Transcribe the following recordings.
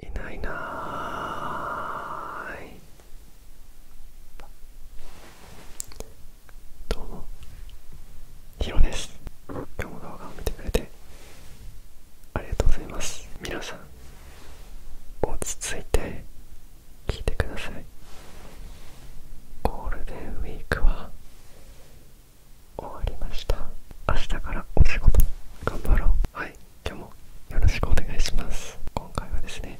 いないなーいどうもヒロです今日も動画を見てくれてありがとうございます皆さん落ち着いて聞いてくださいゴールデンウィーク終わりました明日からお仕事頑張ろうはい今日もよろしくお願いします今回はですね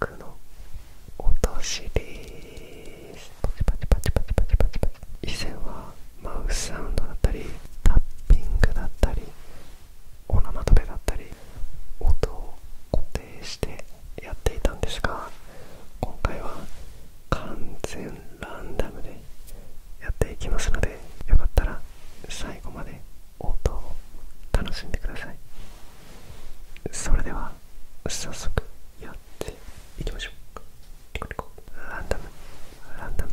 100の落としですパチパチパチパチパチパチパチ以前はマウスサウンドだったりタッピングだったりおナマとペだったり音を固定してやっていたんですが今回は完全ランダムでやっていきますのでよかったら最後まで音を楽しんでくださいそれでは早速やっていきましょうランダムランダム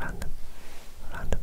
ランダムランダムランダム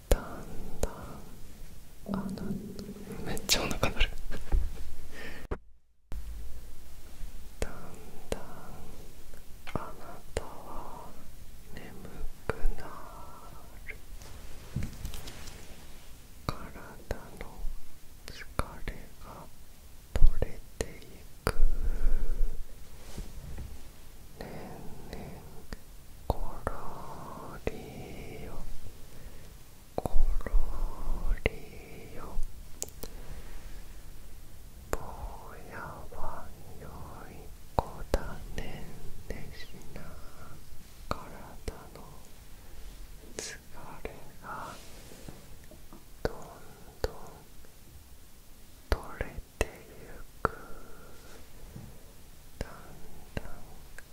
だんだんあなめっちゃお腹鳴るだんだんあなたは眠くなる体の疲れが取れていく年々ころりよころりようやはよい子だねんねしな体の疲れがどんどん取れてゆくだんだん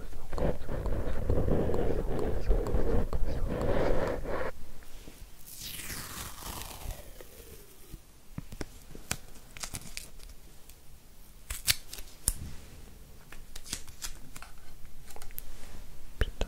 ピタ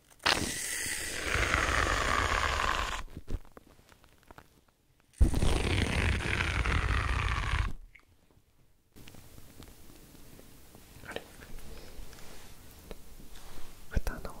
あれの音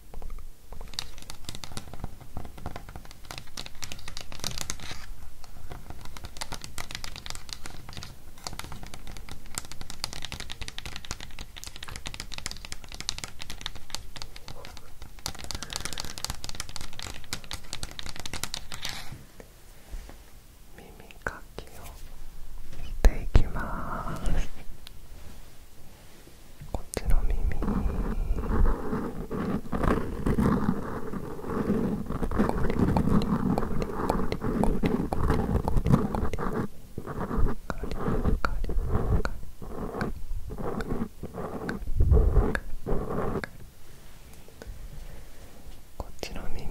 耳かきをしていきますこっちの耳ゴリゴリゴリゴリゴリゴリゴリカリカリこっちの耳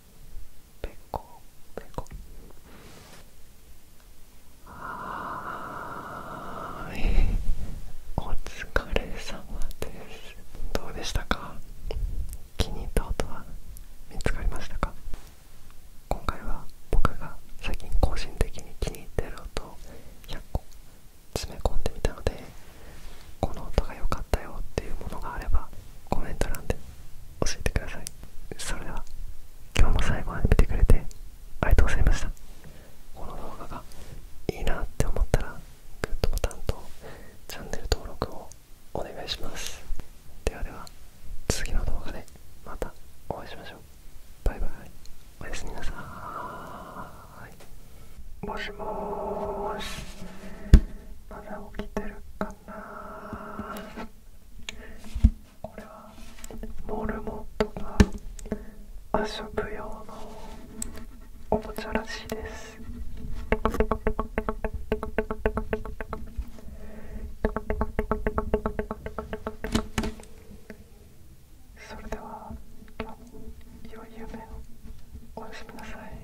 ぺこぺこはーいお疲れ様ですどうでしたか気に入った音は見つかりましたか今回は僕が最近個人的に気に入ってる音を100個詰め込んでみたのでこの音が良かったよっていうものがあればコメント欄で教えてくださいそれでは今日も最後まで見てくれてありがとうございましたこの動画がいいなって思ったらグッドボタンとチャンネル登録をお願いしますではでは次の動画でまたお会いしましょうバイバイおやすみなさいもしもーしこれはモルモットが遊ぶ用のおもちゃらしいですそれでは今日も良い夢をおやすみなさい